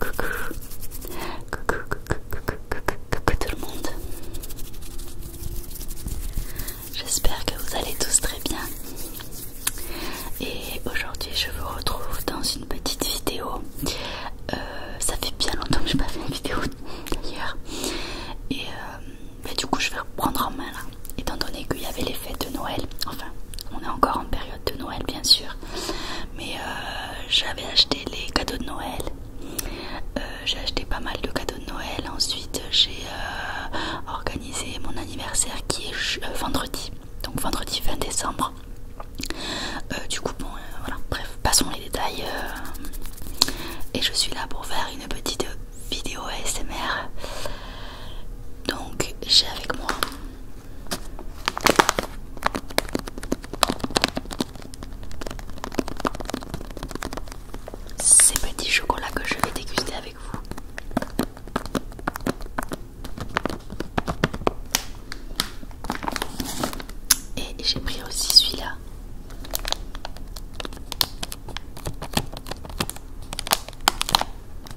Coucou. Coucou, coucou, coucou, coucou, coucou tout le monde. J'espère que vous allez tous très bien. Et aujourd'hui, je vous retrouve dans une petite vidéo. Euh, ça fait bien longtemps que je n'ai pas fait une vidéo d'ailleurs. Et euh, du coup, je vais reprendre en main là étant donné qu'il y avait les fêtes de Noël, enfin on est encore en période de Noël bien sûr, mais euh, j'avais acheté les cadeaux de Noël, euh, j'ai acheté pas mal de cadeaux de Noël, ensuite j'ai euh, organisé mon anniversaire qui est vendredi, donc vendredi 20 décembre. du coup bon voilà bref passons les détails et je suis là pour faire une petite vidéo ASMR donc j'ai avec moi ces petits chocolats que je vais déguster avec vous. Et j'ai pris aussi celui-là.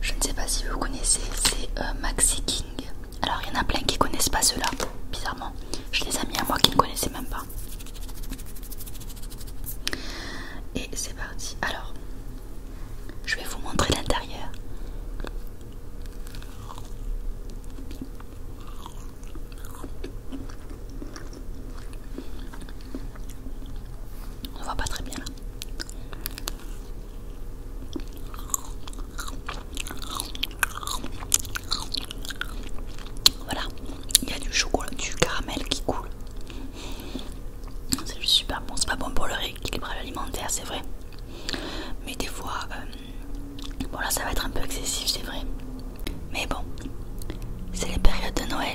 Je ne sais pas si vous connaissez, c'est euh, Maxi King. Alors il y en a plein qui connaissent pas ceux-là, bizarrement. les ai mis à moi qui ne connaissaient même pas. Et c'est parti. Alors, je vais vous montrer l'intérieur. On voit pas très bien là. Voilà, il y a du chocolat, du caramel qui coule. C'est super bon. C'est pas bon pour le rééquilibrage alimentaire, c'est vrai. Mais des fois, euh, Bon là ça va être un peu excessif c'est vrai. Mais bon, c'est les périodes de Noël.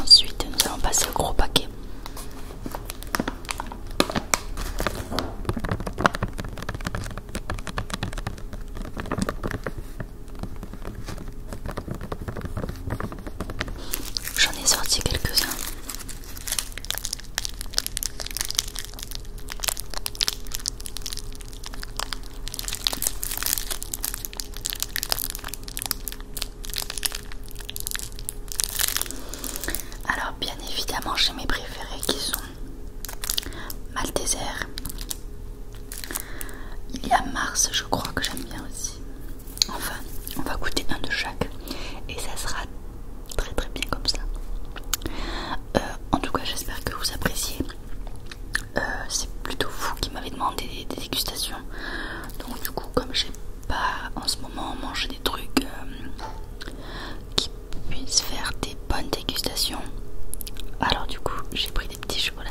Ensuite, nous allons passer au gros paquet. J'en ai sorti quelques-uns. Alors bien évidemment j'ai mes préférés qui sont Maltesers Il y a Mars je crois que j'aime bien aussi. Enfin on va goûter un de chaque et ça sera très très bien comme ça. Euh, en tout cas j'espère que vous appréciez. Euh, c'est plutôt vous qui m'avez demandé des dégustations. Donc du coup comme j'ai pas en ce moment manger des trucs euh, qui puissent faire des bonnes dégustations. Alors du coup, j'ai pris des petits chocolats.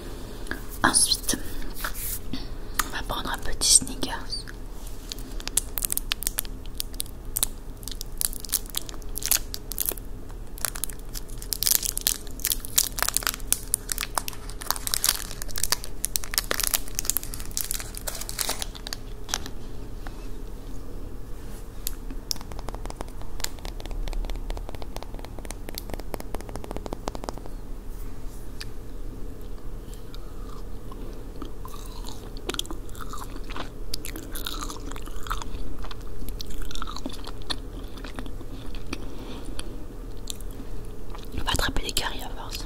Ensuite, on va prendre un petit sneakers. On va attraper des caries à force.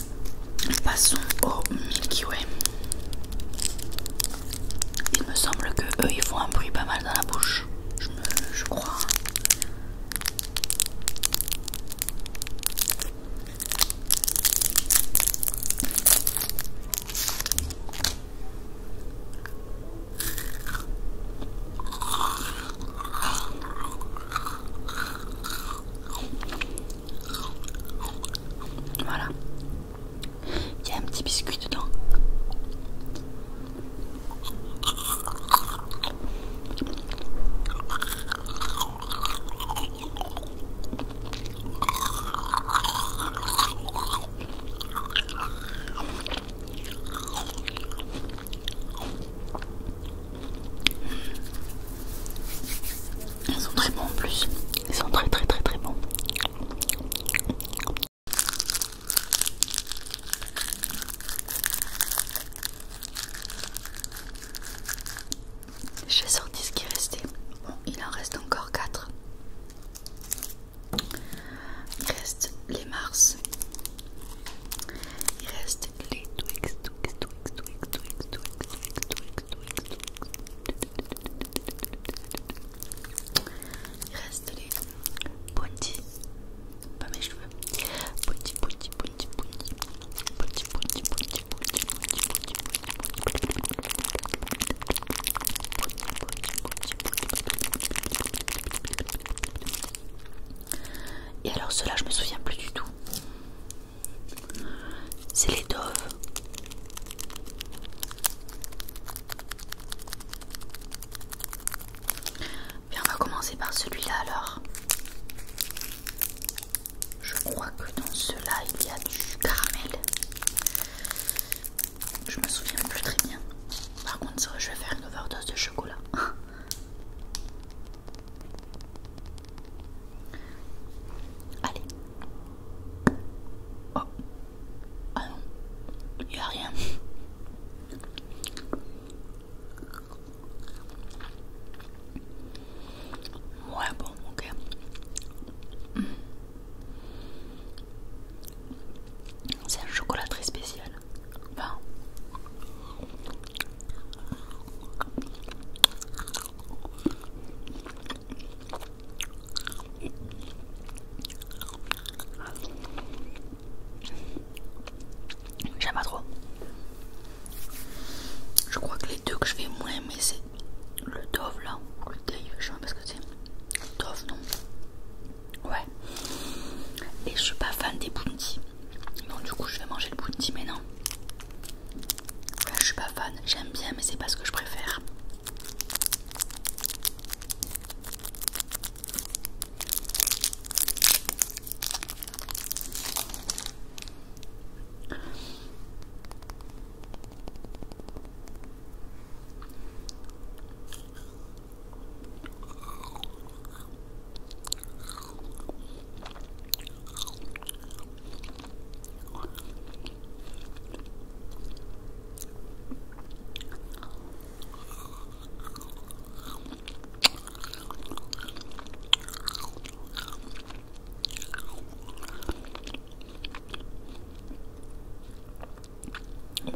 Passons au Milky Way. Il me semble que eux ils font un bruit pas mal dans la bouche. Je, me, je crois. Voilà. Il y a un petit biscuit dedans. Ils sont très bons en plus. Ils sont très très très très bons. J'ai sorti ce qui restait. Bon, il en reste encore 4. Il reste les Mars. Il reste les Twix, Twix, Twix, Twix, Twix, Twix, Twix, Twix, il reste les pointis, pas mes cheveux. et alors cela je me souviens plus du tout. C'est les Doves. Bien, on va commencer par celui-là alors. Je crois que dans celui là il y a du caramel. Je me souviens plus très bien. Par contre, je vais faire une overdose de chocolat. Allez. Oh. Ah non. Il n'y a rien. Moi, bon, ok. Mm. C'est un chocolat très spécial. Enfin, J'aime pas trop. Je crois que les deux que je vais moins aimer, c'est le Dove là, ou le Dave, je sais pas ce que c'est. Dove, non Ouais. Et je suis pas fan des bounty. Bon du coup, je vais manger le bounty maintenant je suis pas fan, j'aime bien, mais c'est pas ce que je préfère.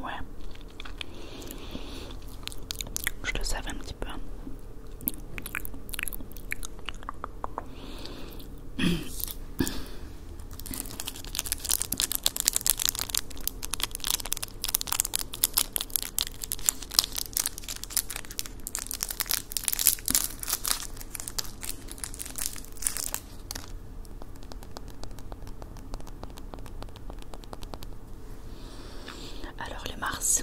Ouais, je le savais un petit peu. Alors le Mars.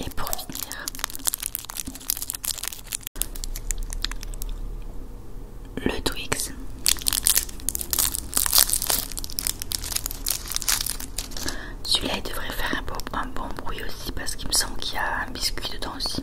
Et pour finir, le Twix. Celui-là devrait faire un bon, un bon bruit aussi parce qu'il me semble qu'il y a un biscuit dedans aussi.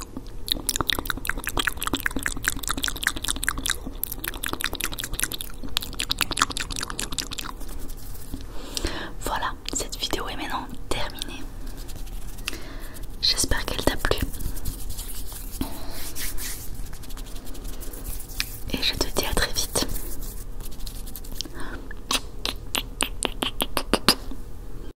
Voilà, cette vidéo est maintenant terminée. J'espère qu'elle t'a plu. Et je te dis à très vite.